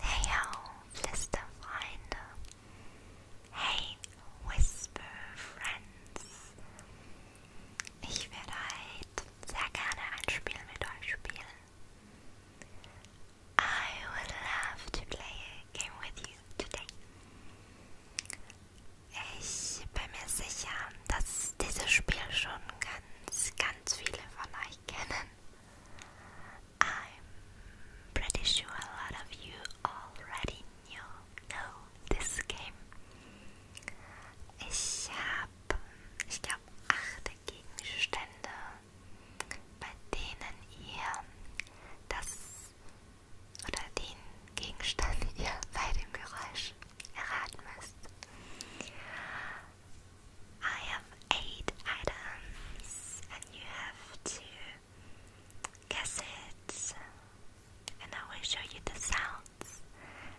Hey auf, Flüsterfreunde! Hey, Whisper Friends! Ich werde heute sehr gerne ein Spiel mit euch spielen. I would love to play a game with you today. Ich bin mir sicher, dass dieses Spiel schon ganz, ganz viele von euch kennen. I'm pretty sure a lot of you already knew know this game. Ich habe, ich glaube, acht Gegenstände, bei denen ihr das oder den Gegenstand ihr bei dem Geräusch erraten müsst. I have eight items, and you have to guess it. And I will show you the sounds.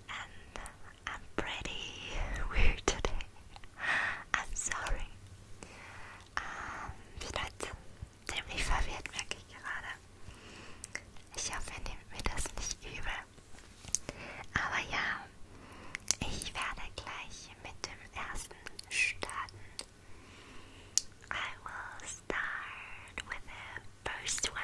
And I'm pretty weird today. I'm sorry. Ähm, vielleicht verwirrt, merke ich gerade. Ich hoffe, nehmt mir das nicht übel. Aber ja, ich werde gleich mit dem ersten starten. I will start with the first one.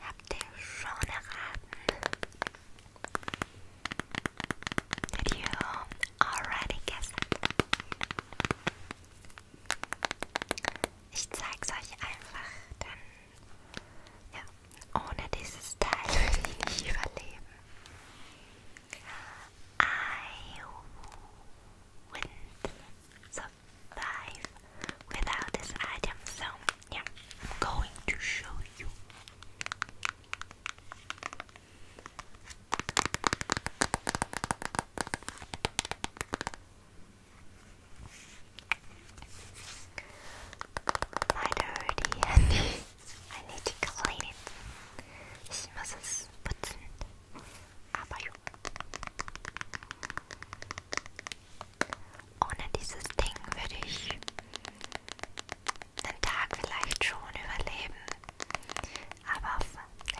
Habt ihr schon erraten? Did you already guess it? Ich zeig's euch einfach, denn ja, ohne dieses Teil würde ich nicht überleben. I wouldn't survive without this item, so yeah, I'm going to show you. My dirty handy. I need to clean it. This must put aber ja. Ohne dieses Ding würde ich einen Tag vielleicht schon überleben, aber auf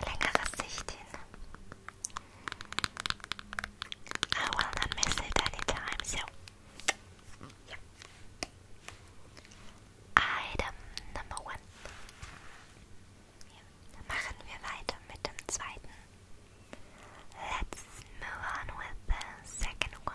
längere Sicht hin. I will not miss it anytime, so. Yeah. Item number one. Machen wir weiter mit dem zweiten. Let's move on with the second one.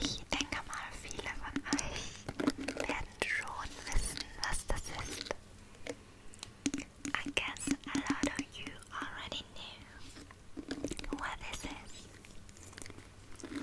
Ich denke I guess a lot of you already knew what this is.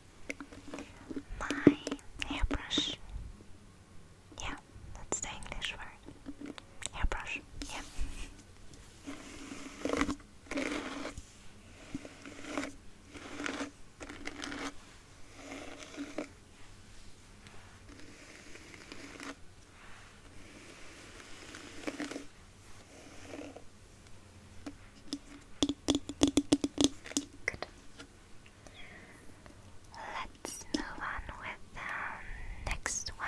my hairbrush. Yeah, that's the English word. Hairbrush. Yeah. Good. Let's move on with the next one.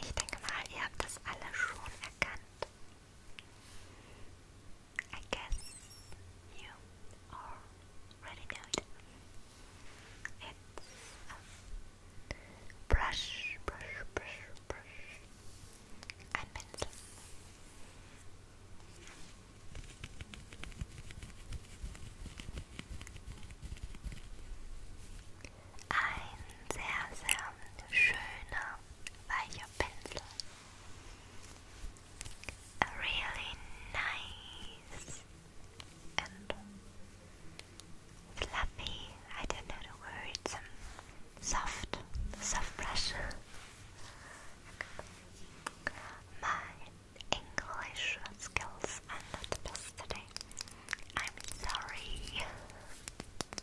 Ich denke mal, ihr habt das alle schon erkannt. I guess you already know it. It's a brush, brush, brush, brush, and pencil. Ein sehr, sehr nice I don't know the words, um, soft, soft brush. My English skills are not the best today. I'm sorry.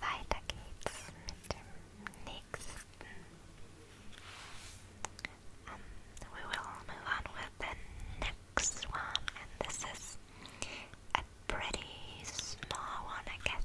Weiter geht's um, we will move on with the next one, and this is a pretty small one, I guess.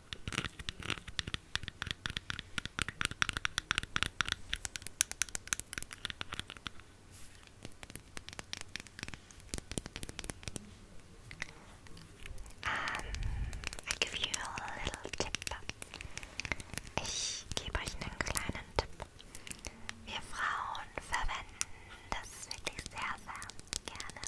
Ähm, I give you a little tip. Ich gebe euch einen kleinen Tipp. Wir Frauen verwenden das wirklich sehr, sehr gerne.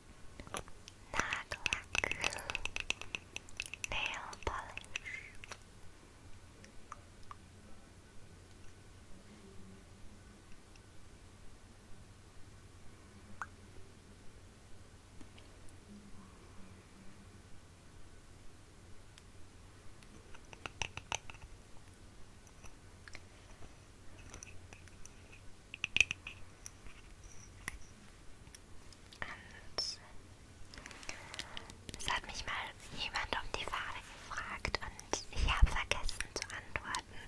Nail Lack Polish Und es hat mich mal jemand um die Farbe gefragt und ich habe vergessen zu antworten.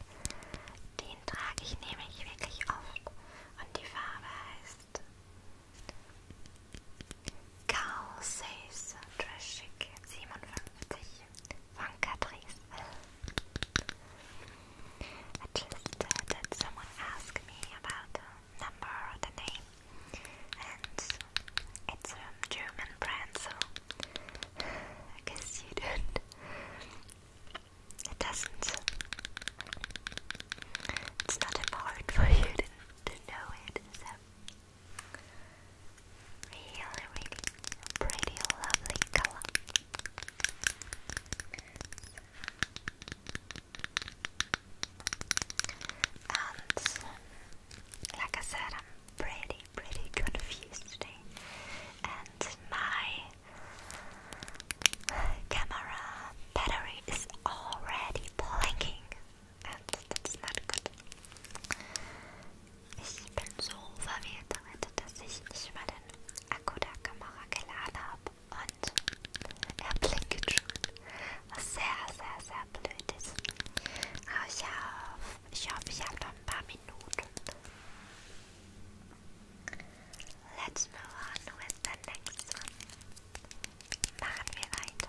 Den trage ich nämlich wirklich oft und die Farbe heißt Carl Says Trash 57 von Catrice. I just had uh, someone ask me about the number or the name, and it's a German brand, so I guess you don't. It doesn't. It's not important for you to, know it, so. Really, really pretty, lovely color. And like I said, I'm pretty, pretty confused today. And my camera battery is already blinking, and that's not good. Ich bin so verwirrt damit, dass ich nicht mal den Akku der Kamera geladen habe und er blinkt schon, was sehr, sehr, sehr blöd ist. Aber ich hoffe, ich, hoffe, ich habe noch ein paar Minuten. Let's move on with the next one. Machen wir weiter.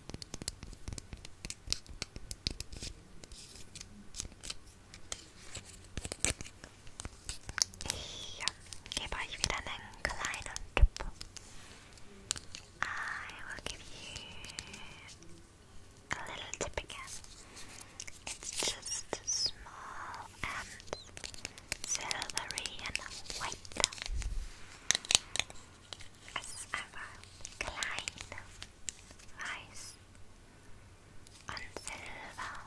Ich I will give you a little tip again. It's just small and silvery and white. Es ist einfach klein, weiß und silber.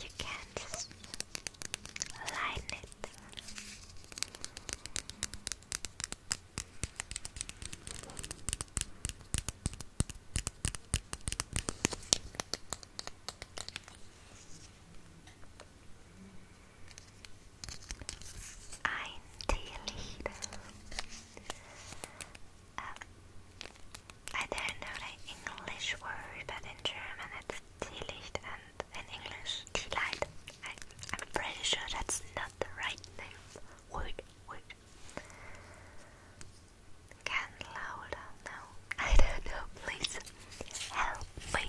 You can just line it. Ein Teelichter. I don't know the English word, but in German it's Teelicht and in English Teelight. I, I'm pretty sure that's not the right name. Word, word. Can louder now? I don't know. Please help me.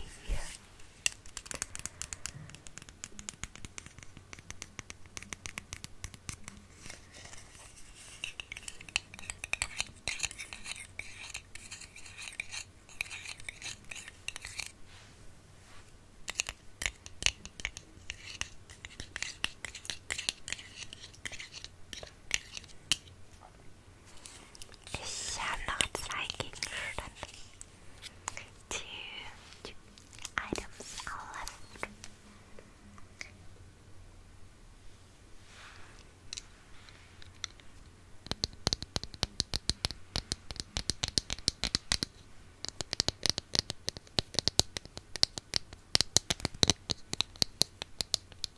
Ich am not psychic two, two items are left.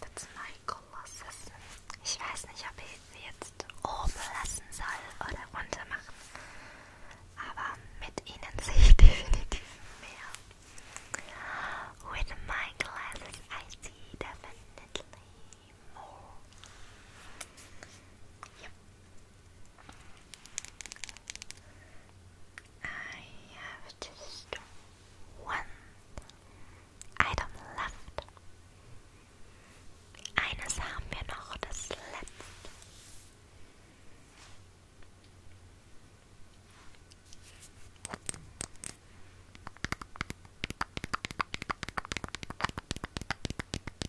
That's my Colossus. Ich weiß nicht, ob ich sie jetzt oben lassen soll oder runter machen. Aber mit ihnen sehe ich definitiv mehr. With my glasses I see definitely more. Yep. I have just one item left. Eines haben wir noch, das letzte.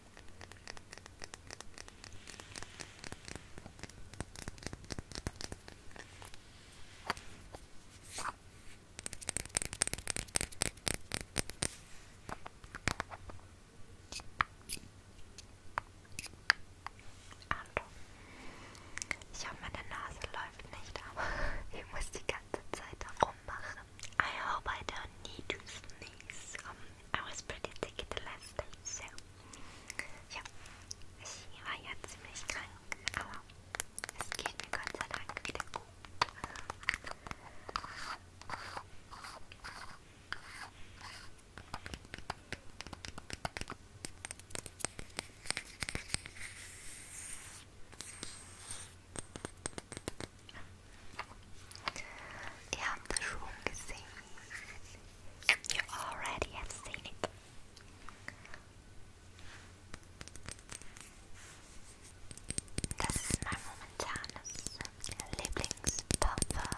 Hallo. Ich hoffe, meine Nase läuft nicht, aber ich muss die ganze Zeit darum machen. I hope I don't need to sneeze. Um, I was pretty sick the last day, so ja, ich war ja ziemlich krank, aber es geht mir Gott sei Dank Ihr habt es schon gesehen. You already have seen it. Das ist mein momentanes Lieblingspuffer.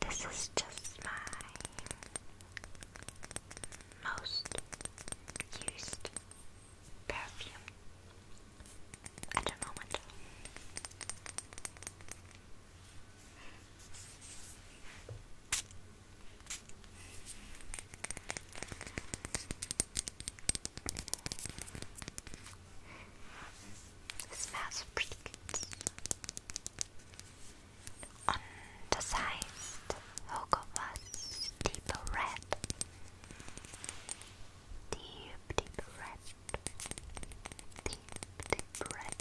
This is just my most used perfume at the moment. smells pretty good. On the sides, the logo was deeper red Deep, deep breath. Deep, deep breath.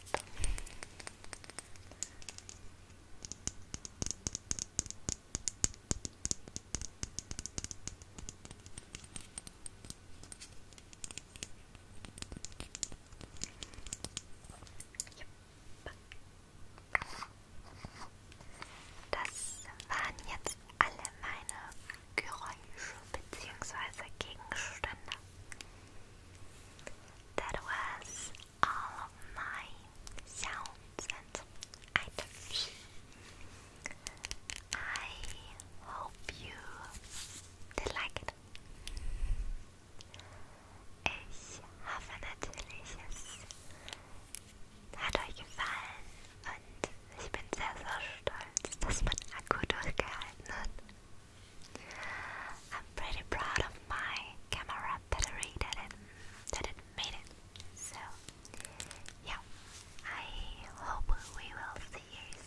Das waren jetzt alle meine Geräusche bzw. Gegenstände. That was all of my sounds and items. I hope you did like it. Ich hoffe natürlich, es I'm pretty proud of my camera battery that it, that it made it. So, yeah, I hope we will see you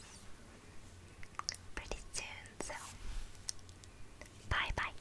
pretty soon. So, bye bye.